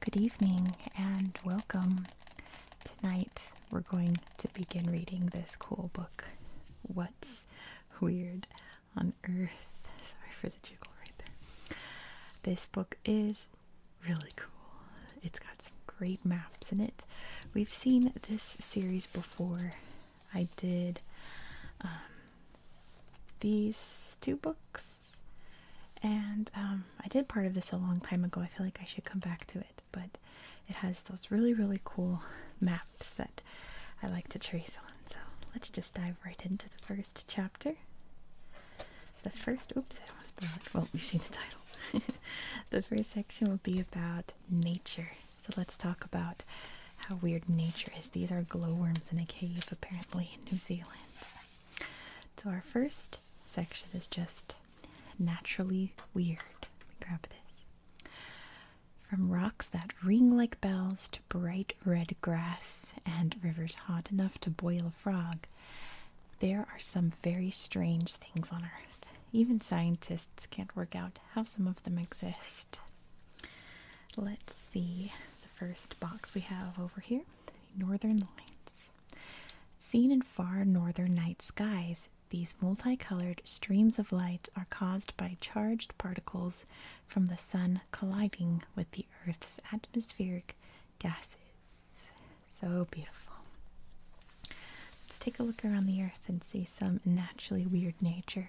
Good evening and welcome. Tonight we're going to begin reading this cool book, What's Weird on Earth. Sorry for the jiggle right there. This book is really cool. It's got some great maps in it. We've seen this series before. I did um, these two books, and um, I did part of this a long time ago. I feel like I should come back to it, but it has those really, really cool maps that I like to trace on. So let's just dive right into the first chapter. The first, oops, I was blew it. Well, you've seen the title. the first section will be about nature. So let's talk about how weird nature is. These are glowworms in a cave, apparently, in New Zealand. So our first section is just naturally weird. grab this. From rocks that ring like bells to bright red grass and rivers hot enough to boil a frog, there are some very strange things on Earth. Even scientists can't work out how some of them exist. Let's see the first box we have over here Northern Lights. Seen in far northern night skies, these multicolored streams of light are caused by charged particles from the sun colliding with the Earth's atmospheric gases. So beautiful. Let's take a look around the earth and see some naturally weird nature.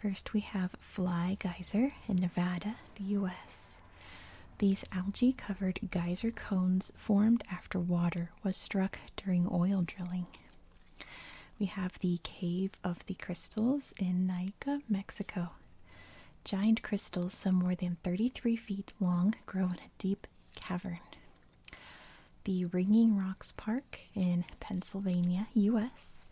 First, we have Fly Geyser in Nevada, the US. These algae covered geyser cones formed after water was struck during oil drilling. We have the Cave of the Crystals in Naica, Mexico. Giant crystals, some more than 33 feet long, grow in a deep cavern the Ringing Rocks Park in Pennsylvania, US.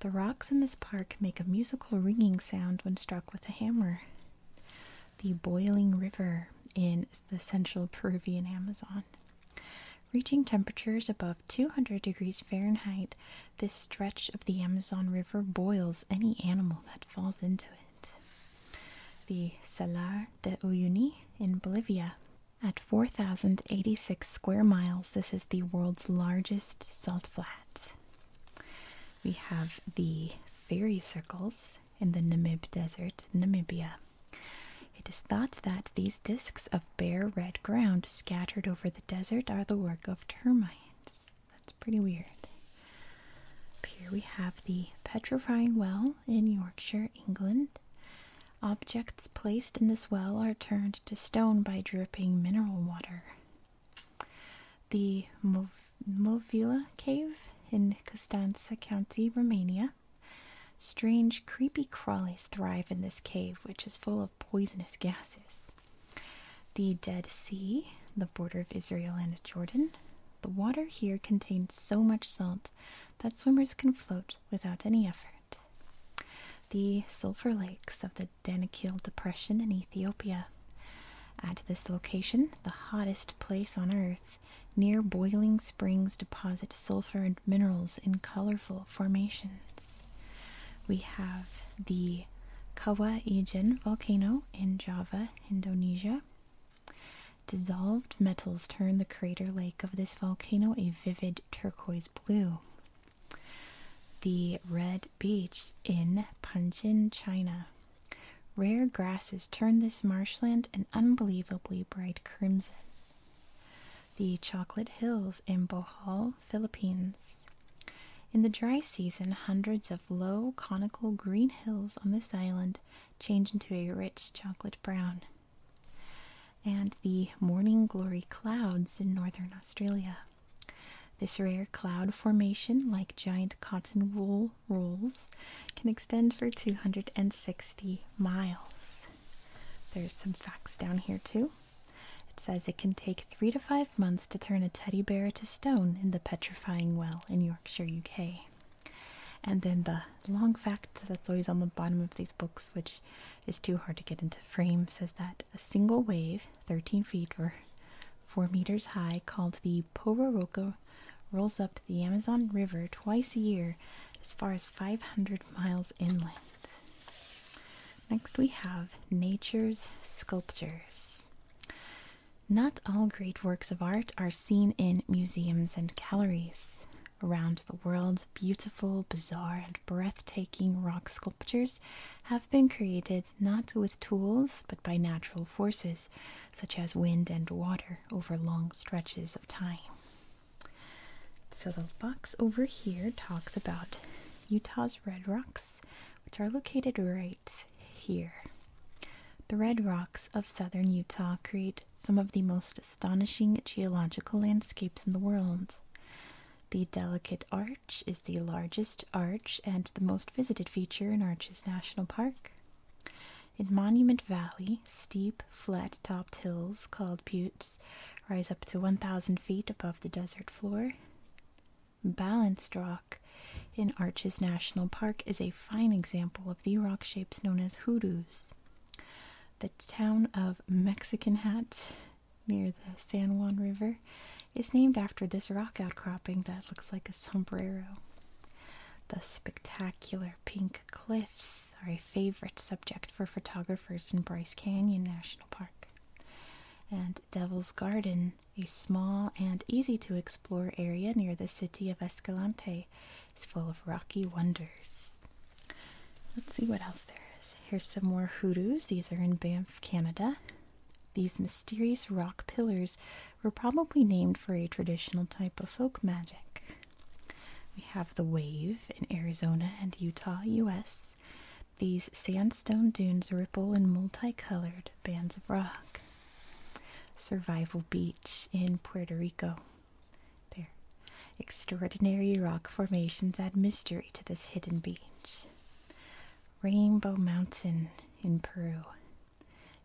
The rocks in this park make a musical ringing sound when struck with a hammer. The boiling river in the central Peruvian Amazon. Reaching temperatures above 200 degrees Fahrenheit, this stretch of the Amazon River boils any animal that falls into it the Salar de Uyuni in Bolivia. At 4,086 square miles, this is the world's largest salt flat. We have the fairy circles in the Namib Desert, Namibia. It is thought that these discs of bare red ground scattered over the desert are the work of termites. That's pretty weird. here we have the petrifying well in Yorkshire, England. Objects placed in this well are turned to stone by dripping mineral water. The Movila Cave in Costanza County, Romania. Strange, creepy crawlies thrive in this cave, which is full of poisonous gases. The Dead Sea, the border of Israel and Jordan. The water here contains so much salt that swimmers can float without any effort. The sulfur lakes of the Danakil Depression in Ethiopia. At this location, the hottest place on Earth, near boiling springs deposit sulfur and minerals in colorful formations. We have the Kawa Ijen volcano in Java, Indonesia, Dissolved metals turn the crater lake of this volcano a vivid turquoise blue. The red beach in Panjin, China. Rare grasses turn this marshland an unbelievably bright crimson. The chocolate hills in Bohol, Philippines. In the dry season, hundreds of low, conical green hills on this island change into a rich chocolate brown. And the morning glory clouds in northern Australia. This rare cloud formation, like giant cotton wool rolls, can extend for 260 miles. There's some facts down here, too. It says it can take three to five months to turn a teddy bear to stone in the petrifying well in Yorkshire, UK. And then the long fact that's always on the bottom of these books, which is too hard to get into frame, says that a single wave, 13 feet or 4 meters high, called the Pororoca, rolls up the Amazon River twice a year as far as 500 miles inland. Next, we have Nature's Sculptures. Not all great works of art are seen in museums and galleries. Around the world, beautiful, bizarre, and breathtaking rock sculptures have been created not with tools but by natural forces, such as wind and water, over long stretches of time. So, the box over here talks about Utah's red rocks, which are located right here. The red rocks of southern Utah create some of the most astonishing geological landscapes in the world. The Delicate Arch is the largest arch and the most visited feature in Arches National Park. In Monument Valley, steep, flat topped hills called buttes rise up to 1,000 feet above the desert floor. Balanced Rock in Arches National Park is a fine example of the rock shapes known as hoodoos. The town of Mexican Hat near the San Juan River is named after this rock outcropping that looks like a sombrero. The spectacular pink cliffs are a favorite subject for photographers in Bryce Canyon National Park. And Devil's Garden a small and easy to explore area near the city of Escalante, is full of rocky wonders. Let's see what else there is. Here's some more hoodoos. These are in Banff, Canada. These mysterious rock pillars were probably named for a traditional type of folk magic. We have the wave in Arizona and Utah, US. These sandstone dunes ripple in multicolored bands of rock. Survival Beach in Puerto Rico. There. Extraordinary rock formations add mystery to this hidden beach. Rainbow Mountain in Peru.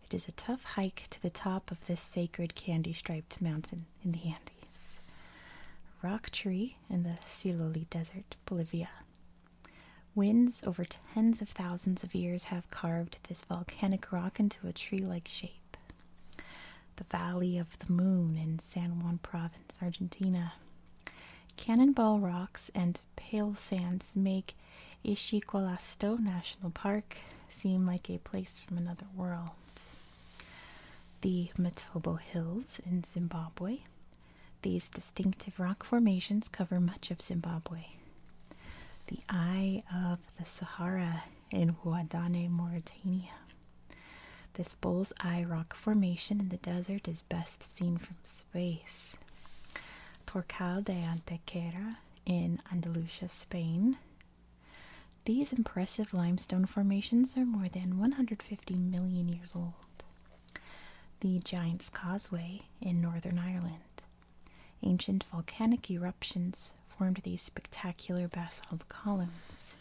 It is a tough hike to the top of this sacred candy striped mountain in the Andes. Rock tree in the Siloli Desert, Bolivia. Winds over tens of thousands of years have carved this volcanic rock into a tree like shape. The Valley of the Moon in San Juan Province, Argentina. Cannonball rocks and pale sands make Ishiqualasto National Park seem like a place from another world. The Matobo Hills in Zimbabwe. These distinctive rock formations cover much of Zimbabwe the Eye of the Sahara in Ouadane, Mauritania. This bull's eye rock formation in the desert is best seen from space. Torcal de Antequera in Andalusia, Spain. These impressive limestone formations are more than 150 million years old. The Giant's Causeway in Northern Ireland. Ancient volcanic eruptions formed these spectacular basalt columns.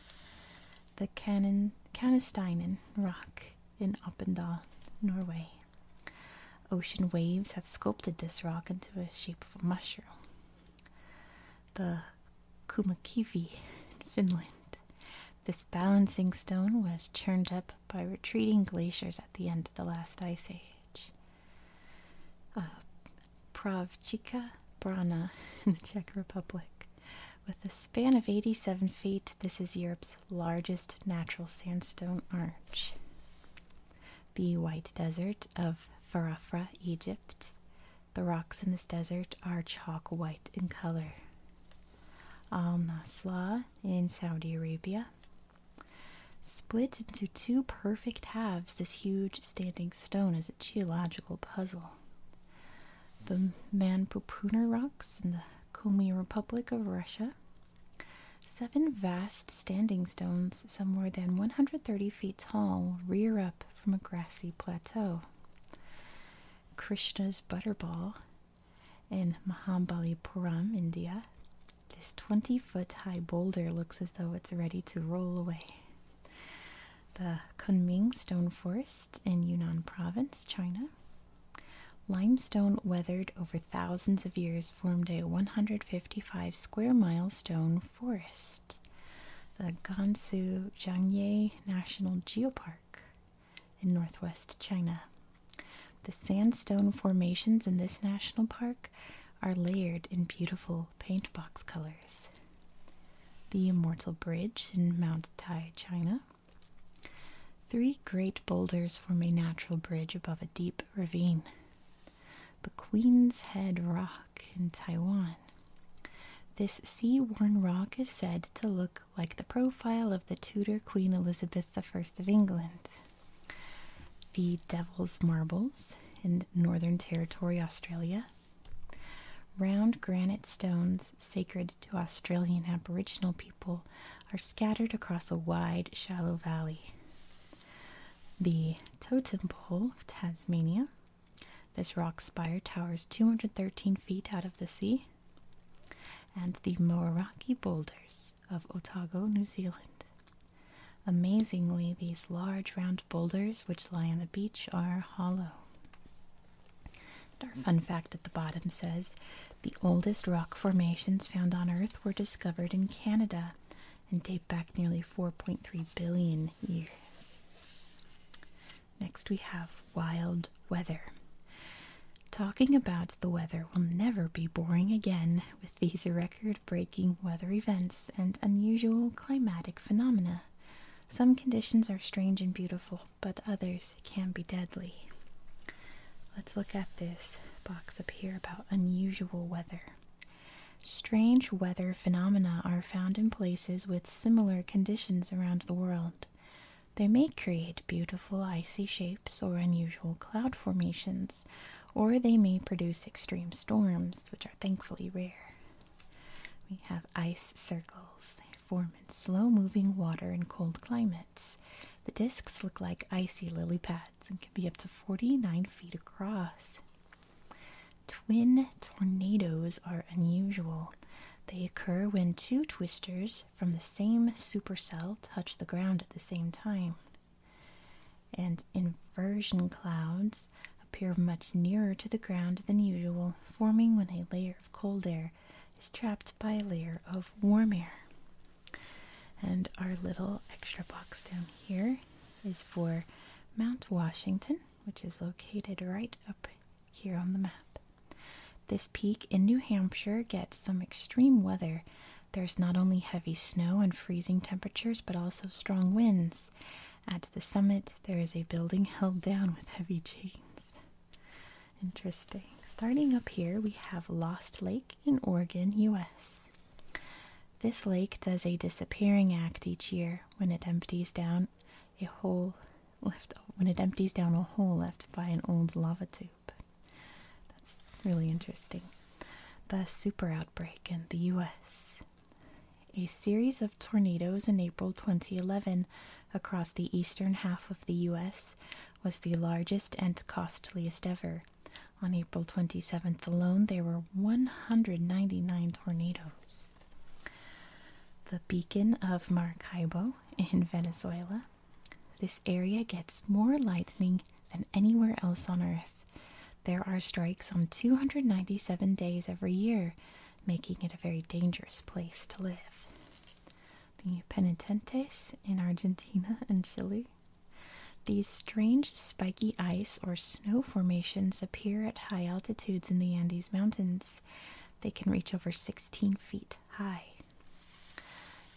The Canon, rock in Oppendal, Norway. Ocean waves have sculpted this rock into the shape of a mushroom. The Kumakivi, Finland. This balancing stone was churned up by retreating glaciers at the end of the last ice age. Uh, Pravchika Brana in the Czech Republic. With a span of 87 feet, this is Europe's largest natural sandstone arch. The White Desert of Farafra, Egypt. The rocks in this desert are chalk white in color. Al Nasla in Saudi Arabia. Split into two perfect halves, this huge standing stone is a geological puzzle. The Manpupuner rocks in the Komi Republic of Russia. Seven vast standing stones, some more than 130 feet tall, rear up from a grassy plateau. Krishna's Butterball in Puram, India. This 20 foot high boulder looks as though it's ready to roll away. The Kunming Stone Forest in Yunnan Province, China. Limestone weathered over thousands of years formed a 155 square mile stone forest. The Gansu Jiangye National Geopark in northwest China. The sandstone formations in this national park are layered in beautiful paintbox colors. The Immortal Bridge in Mount Tai, China. Three great boulders form a natural bridge above a deep ravine. The Queen's Head Rock in Taiwan. This sea worn rock is said to look like the profile of the Tudor Queen Elizabeth I of England the Devil's Marbles in Northern Territory, Australia. Round granite stones sacred to Australian Aboriginal people are scattered across a wide, shallow valley. The Totem Pole Tasmania. This rock spire towers 213 feet out of the sea. And the Moeraki Boulders of Otago, New Zealand. Amazingly, these large round boulders which lie on the beach are hollow. our fun fact at the bottom says the oldest rock formations found on Earth were discovered in Canada and date back nearly 4.3 billion years. Next, we have wild weather. Talking about the weather will never be boring again with these record breaking weather events and unusual climatic phenomena. Some conditions are strange and beautiful, but others can be deadly. Let's look at this box up here about unusual weather. Strange weather phenomena are found in places with similar conditions around the world. They may create beautiful icy shapes or unusual cloud formations, or they may produce extreme storms, which are thankfully rare. We have ice circles. They form in slow moving water in cold climates. The discs look like icy lily pads and can be up to 49 feet across. Twin tornadoes are unusual. They occur when two twisters from the same supercell touch the ground at the same time. And inversion clouds appear much nearer to the ground than usual, forming when a layer of cold air is trapped by a layer of warm air. And our little extra box down here is for Mount Washington, which is located right up here on the map. This peak in New Hampshire gets some extreme weather. There's not only heavy snow and freezing temperatures, but also strong winds. At the summit, there is a building held down with heavy chains. Interesting. Starting up here, we have Lost Lake in Oregon, U.S. This lake does a disappearing act each year when it empties down a hole left when it empties down a hole left by an old lava tube. That's really interesting. The super outbreak in the US. A series of tornadoes in April 2011 across the eastern half of the US was the largest and costliest ever. On April 27th alone, there were 199 tornadoes. The beacon of Maracaibo in Venezuela this area gets more lightning than anywhere else on Earth. There are strikes on 297 days every year, making it a very dangerous place to live. The penitentes in Argentina and Chile. These strange spiky ice or snow formations appear at high altitudes in the Andes Mountains. They can reach over 16 feet. Hi.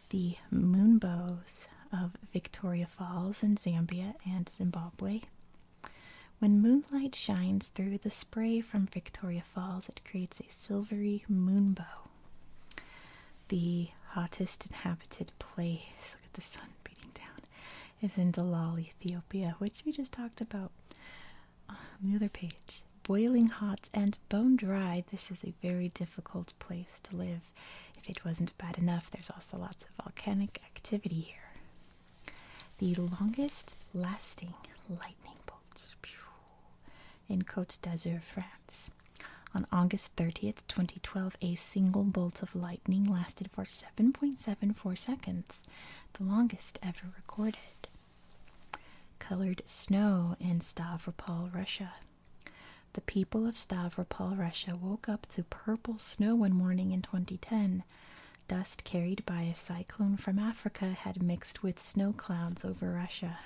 The moonbows of Victoria Falls in Zambia and Zimbabwe. When moonlight shines through the spray from Victoria Falls, it creates a silvery moonbow. The hottest inhabited place, look at the sun beating down, is in Dalal, Ethiopia, which we just talked about on the other page boiling hot and bone dry, this is a very difficult place to live. If it wasn't bad enough, there's also lots of volcanic activity here. The longest lasting lightning bolts in Côte d'Azur, France. On August 30th, 2012, a single bolt of lightning lasted for 7.74 seconds, the longest ever recorded. Colored snow in Stavropol, Russia. The people of Stavropol, Russia woke up to purple snow one morning in 2010. Dust carried by a cyclone from Africa had mixed with snow clouds over Russia.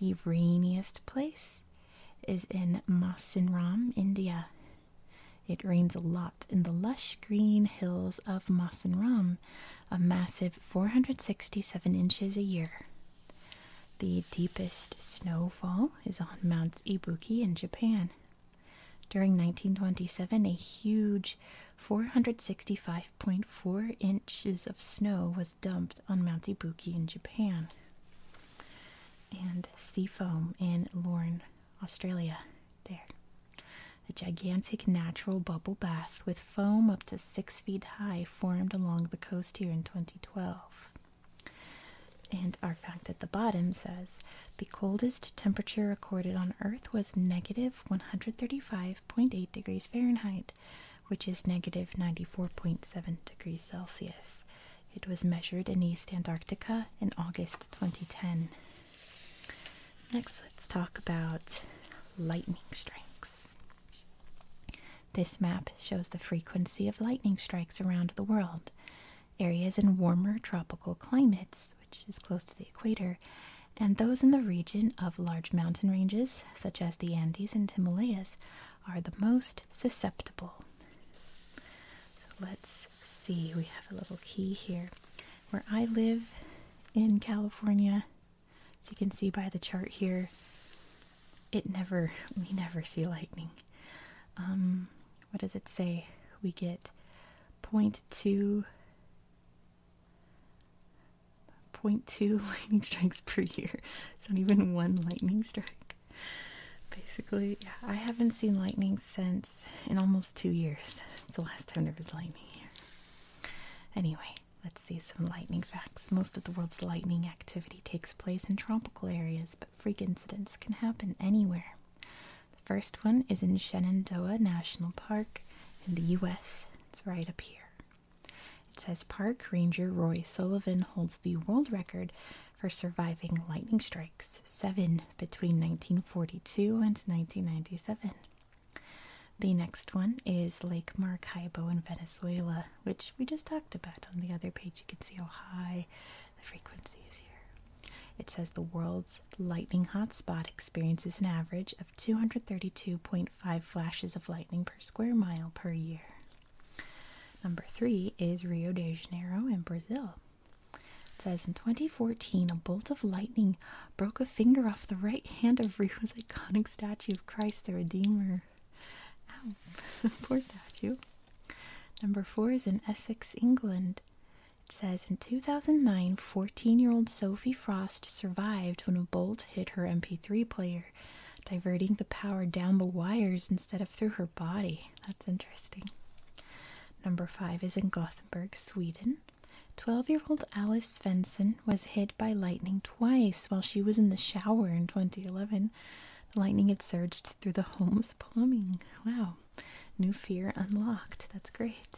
The rainiest place is in Masinram, India. It rains a lot in the lush green hills of Masinram, a massive 467 inches a year. The deepest snowfall is on Mount Ibuki in Japan. During 1927, a huge 465.4 inches of snow was dumped on Mount Ibuki in Japan. And sea foam in Lorne, Australia. There. A gigantic natural bubble bath with foam up to six feet high formed along the coast here in 2012. And our fact at the bottom says the coldest temperature recorded on Earth was negative 135.8 degrees Fahrenheit, which is negative 94.7 degrees Celsius. It was measured in East Antarctica in August 2010. Next, let's talk about lightning strikes. This map shows the frequency of lightning strikes around the world. Areas in warmer tropical climates, which is close to the equator, and those in the region of large mountain ranges, such as the Andes and Himalayas, are the most susceptible. So let's see, we have a little key here. Where I live in California, as you can see by the chart here, it never, we never see lightning. Um, what does it say? We get 0 0.2, 0.2 lightning strikes per year. So, not even one lightning strike. Basically, yeah, I haven't seen lightning since in almost two years. It's the last time there was lightning here. Anyway, Let's see some lightning facts. Most of the world's lightning activity takes place in tropical areas, but freak incidents can happen anywhere. The first one is in Shenandoah National Park in the US. It's right up here. It says Park Ranger Roy Sullivan holds the world record for surviving lightning strikes, seven between 1942 and 1997. The next one is Lake Maracaibo in Venezuela, which we just talked about. On the other page, you can see how high the frequency is here. It says the world's lightning hotspot experiences an average of 232.5 flashes of lightning per square mile per year. Number three is Rio de Janeiro in Brazil. It says in 2014, a bolt of lightning broke a finger off the right hand of Rio's iconic statue of Christ the Redeemer. Ow, poor statue. Number four is in Essex, England. It says in 2009, 14 year old Sophie Frost survived when a bolt hit her MP3 player, diverting the power down the wires instead of through her body. That's interesting. Number five is in Gothenburg, Sweden. 12 year old Alice Svensson was hit by lightning twice while she was in the shower in 2011. The lightning had surged through the home's plumbing. Wow. New fear unlocked. That's great.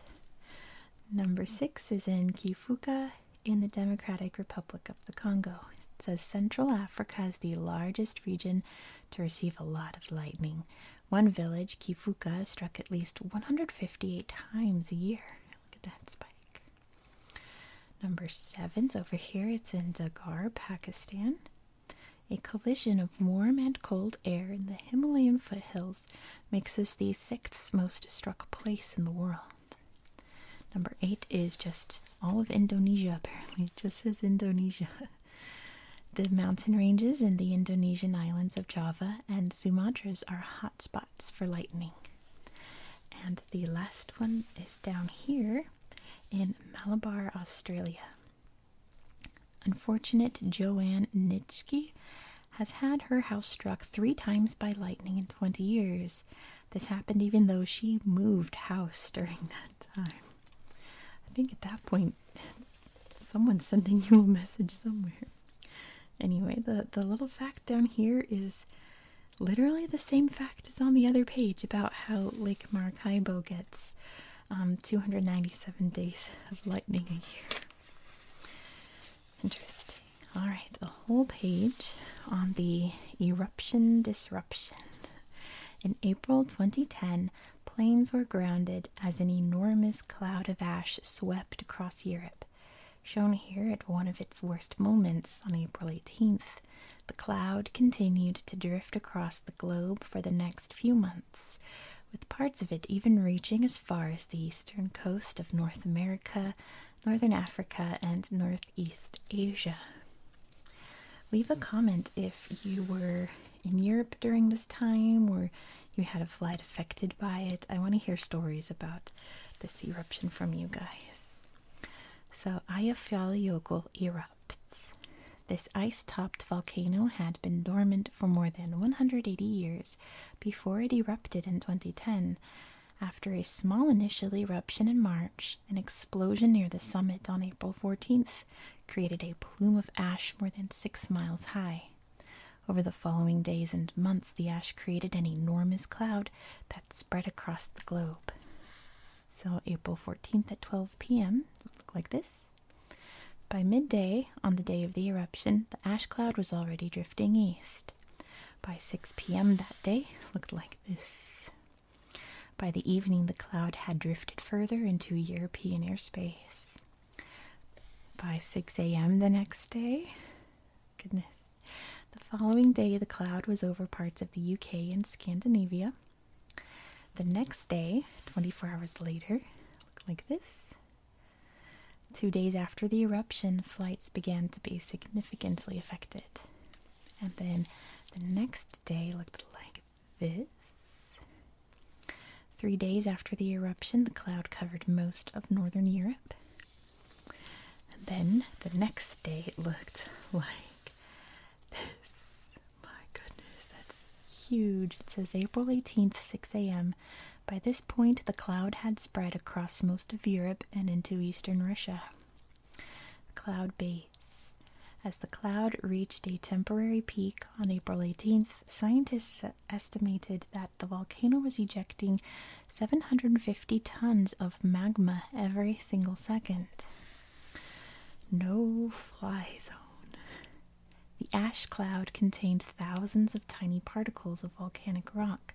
Number six is in Kifuka in the Democratic Republic of the Congo. It says Central Africa is the largest region to receive a lot of lightning. One village, Kifuka, struck at least 158 times a year. Look at that spike. Number seven's over here. It's in Dagar, Pakistan. A collision of warm and cold air in the Himalayan foothills makes us the sixth most struck place in the world. Number eight is just all of Indonesia, apparently. It just says Indonesia. The mountain ranges in the Indonesian islands of Java and Sumatras are hotspots spots for lightning. And the last one is down here in Malabar, Australia. Unfortunate Joanne Nitschke has had her house struck three times by lightning in 20 years. This happened even though she moved house during that time. I think at that point, someone's sending you a message somewhere. Anyway, the, the little fact down here is literally the same fact as on the other page about how Lake Maracaibo gets um, 297 days of lightning a year. Interesting. All right, a whole page on the eruption disruption. In April 2010, planes were grounded as an enormous cloud of ash swept across Europe shown here at one of its worst moments on April 18th, the cloud continued to drift across the globe for the next few months, with parts of it even reaching as far as the eastern coast of North America, Northern Africa, and Northeast Asia. Leave a comment if you were in Europe during this time or you had a flight affected by it. I want to hear stories about this eruption from you guys. So, Eyjafjallajökull erupts. This ice-topped volcano had been dormant for more than 180 years before it erupted in 2010. After a small initial eruption in March, an explosion near the summit on April 14th created a plume of ash more than six miles high. Over the following days and months, the ash created an enormous cloud that spread across the globe. So, April 14th at 12 p.m., looked like this. By midday, on the day of the eruption, the ash cloud was already drifting east. By 6 p.m. that day, looked like this. By the evening, the cloud had drifted further into European airspace. By 6 a.m. the next day, goodness, the following day the cloud was over parts of the UK and Scandinavia. The next day, 24 hours later, looked like this. Two days after the eruption, flights began to be significantly affected. And then the next day looked like this. Three days after the eruption, the cloud covered most of northern Europe. And then the next day, it looked like this. My goodness, that's huge. It says April 18th, 6 a.m. By this point, the cloud had spread across most of Europe and into eastern Russia. Cloud base. As the cloud reached a temporary peak on April 18th, scientists estimated that the volcano was ejecting 750 tons of magma every single second. No fly zone. The ash cloud contained thousands of tiny particles of volcanic rock,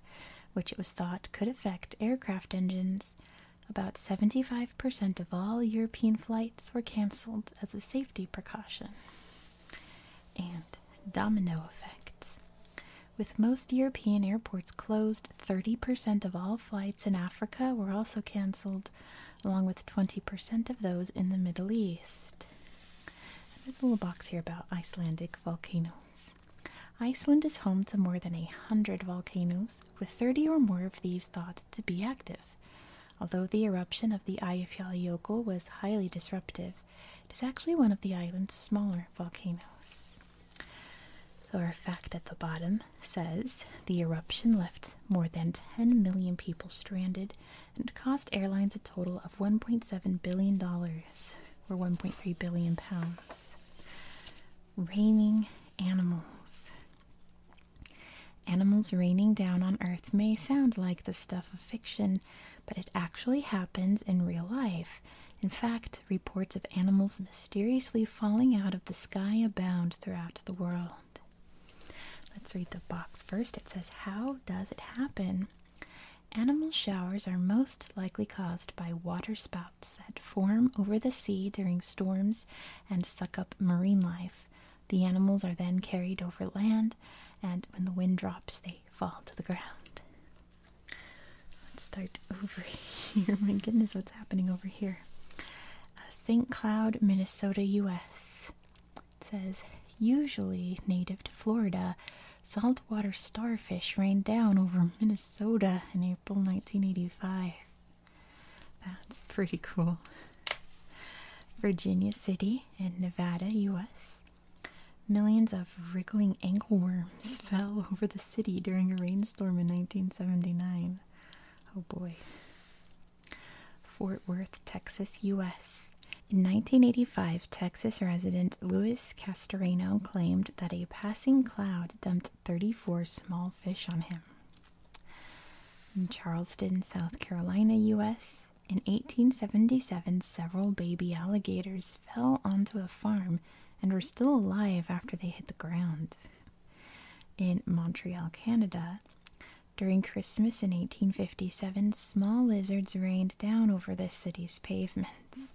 which it was thought could affect aircraft engines. About 75% of all European flights were cancelled as a safety precaution. And domino effects. With most European airports closed, 30% of all flights in Africa were also cancelled, along with 20% of those in the Middle East. There's a little box here about Icelandic volcanoes. Iceland is home to more than a hundred volcanoes, with 30 or more of these thought to be active. Although the eruption of the Eyjafjallajökull was highly disruptive, it is actually one of the island's smaller volcanoes. So, our fact at the bottom says the eruption left more than 10 million people stranded and cost airlines a total of $1.7 billion or 1.3 billion pounds. Raining animals. Animals raining down on Earth may sound like the stuff of fiction, but it actually happens in real life. In fact, reports of animals mysteriously falling out of the sky abound throughout the world. Let's read the box first. It says, How does it happen? Animal showers are most likely caused by water spouts that form over the sea during storms and suck up marine life. The animals are then carried over land, and when the wind drops, they fall to the ground. Let's start over here. My goodness, what's happening over here? Uh, St. Cloud, Minnesota, U.S. says, usually native to Florida, saltwater starfish rained down over Minnesota in April 1985. That's pretty cool. Virginia City in Nevada, U.S. Millions of wriggling anglerworms fell over the city during a rainstorm in 1979. Oh boy. Fort Worth, Texas, U.S. In 1985, Texas resident Louis Castorino claimed that a passing cloud dumped 34 small fish on him. In Charleston, South Carolina, U.S., in 1877, several baby alligators fell onto a farm and were still alive after they hit the ground. In Montreal, Canada, during Christmas in 1857, small lizards rained down over the city's pavements.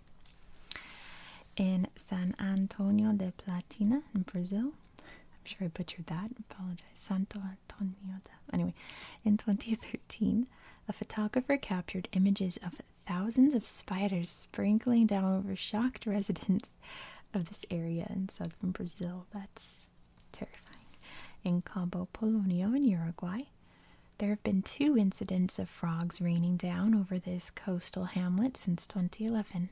In San Antonio de Platina in Brazil, I'm sure I butchered that, apologize. Santo Antonio de Anyway, in 2013, a photographer captured images of thousands of spiders sprinkling down over shocked residents of this area in southern Brazil. That's terrifying. In Cabo Polonio in Uruguay, there have been two incidents of frogs raining down over this coastal hamlet since 2011.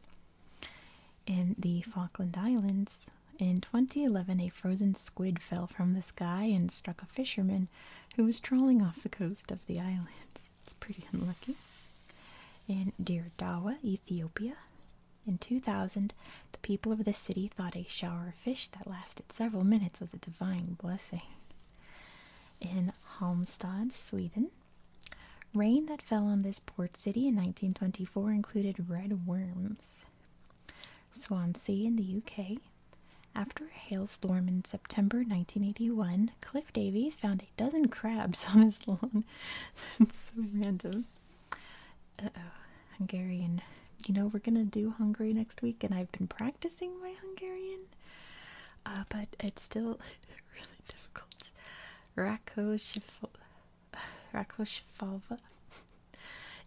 In the Falkland Islands, in 2011, a frozen squid fell from the sky and struck a fisherman who was trawling off the coast of the islands. It's pretty unlucky. In Deir Dawa, Ethiopia, in 2000, the people of the city thought a shower of fish that lasted several minutes was a divine blessing. In Halmstad, Sweden, rain that fell on this port city in 1924 included red worms. Swansea in the UK. After a hailstorm in September 1981, Cliff Davies found a dozen crabs on his lawn. That's so random. Uh oh, Hungarian. You know, we're gonna do Hungary next week, and I've been practicing my Hungarian, uh, but it's still really difficult. Rako Rakosh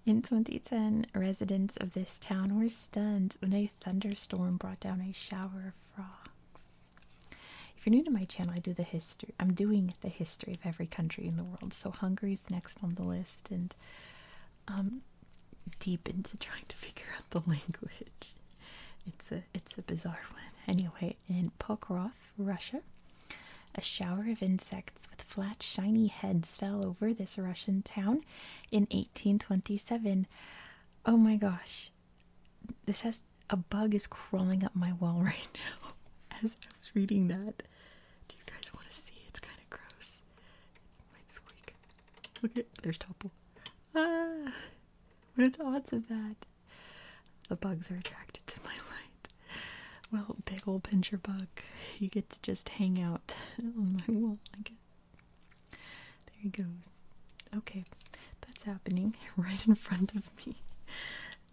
In 2010, residents of this town were stunned when a thunderstorm brought down a shower of frogs. If you're new to my channel, I do the history. I'm doing the history of every country in the world. So Hungary's next on the list, and um, deep into trying to figure out the language. It's a it's a bizarre one. Anyway, in Pokrov, Russia, a shower of insects with flat, shiny heads fell over this Russian town in 1827. Oh my gosh. This has a bug is crawling up my wall right now as I was reading that. Do you guys want to see? It's kind of gross. It might squeak. Look at there's Topple. Ah, what are the odds of that? The bugs are attracted to my light. Well, big old pincher buck, you get to just hang out on my wall, I guess. There he goes. Okay, that's happening right in front of me.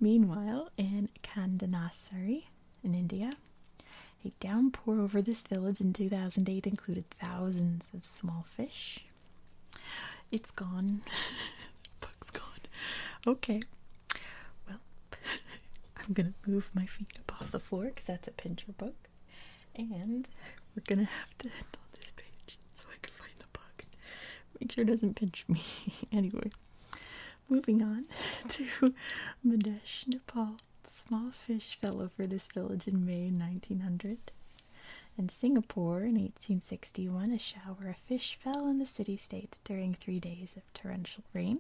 Meanwhile, in Kandanasari, in India, a downpour over this village in 2008 included thousands of small fish. It's gone. the has gone. Okay, well, I'm gonna move my feet up off the floor because that's a pincher book, and we're gonna have to end this page so I can find the book. Make sure it doesn't pinch me. anyway, moving on to Madesh, Nepal. Small fish fell over this village in May 1900. In Singapore in 1861, a shower of fish fell in the city state during three days of torrential rain.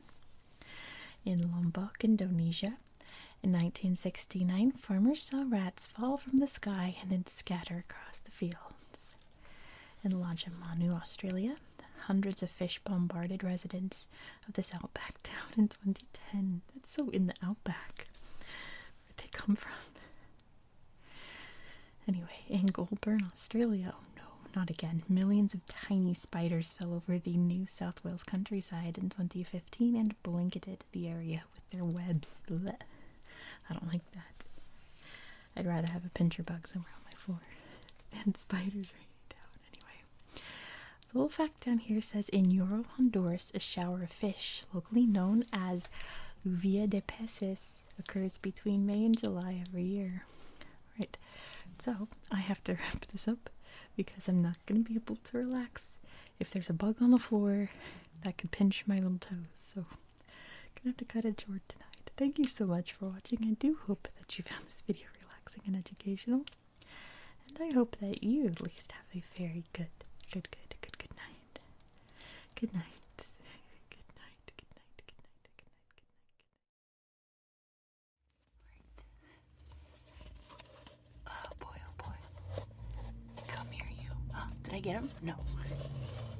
In Lombok, Indonesia, in 1969, farmers saw rats fall from the sky and then scatter across the fields. In Lajamanu, Australia, hundreds of fish bombarded residents of this outback town in 2010. That's so in the outback. Where'd they come from? Anyway, in Goulburn, Australia, no, not again. Millions of tiny spiders fell over the New South Wales countryside in 2015 and blanketed the area with their webs. I don't like that. I'd rather have a pincher bug somewhere on my floor than spiders raining down anyway. The little fact down here says in Euro Honduras, a shower of fish, locally known as Uvia de Peces, occurs between May and July every year. Right, so I have to wrap this up because I'm not going to be able to relax. If there's a bug on the floor, that could pinch my little toes. So, gonna have to cut it short tonight. Thank you so much for watching. I do hope that you found this video relaxing and educational. And I hope that you at least have a very good, good, good, good, Good night. Good night. Good night. Good night. Good night. Good night. Good night. Oh boy, oh boy. Come here, you. did I get him? No.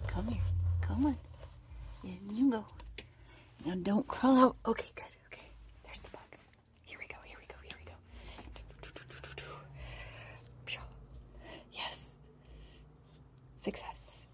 Come here. Come on. And you go. Now don't crawl out. Okay, good. Okay. There's the bug. Here we go. Here we go. Here we go. Yes. Success.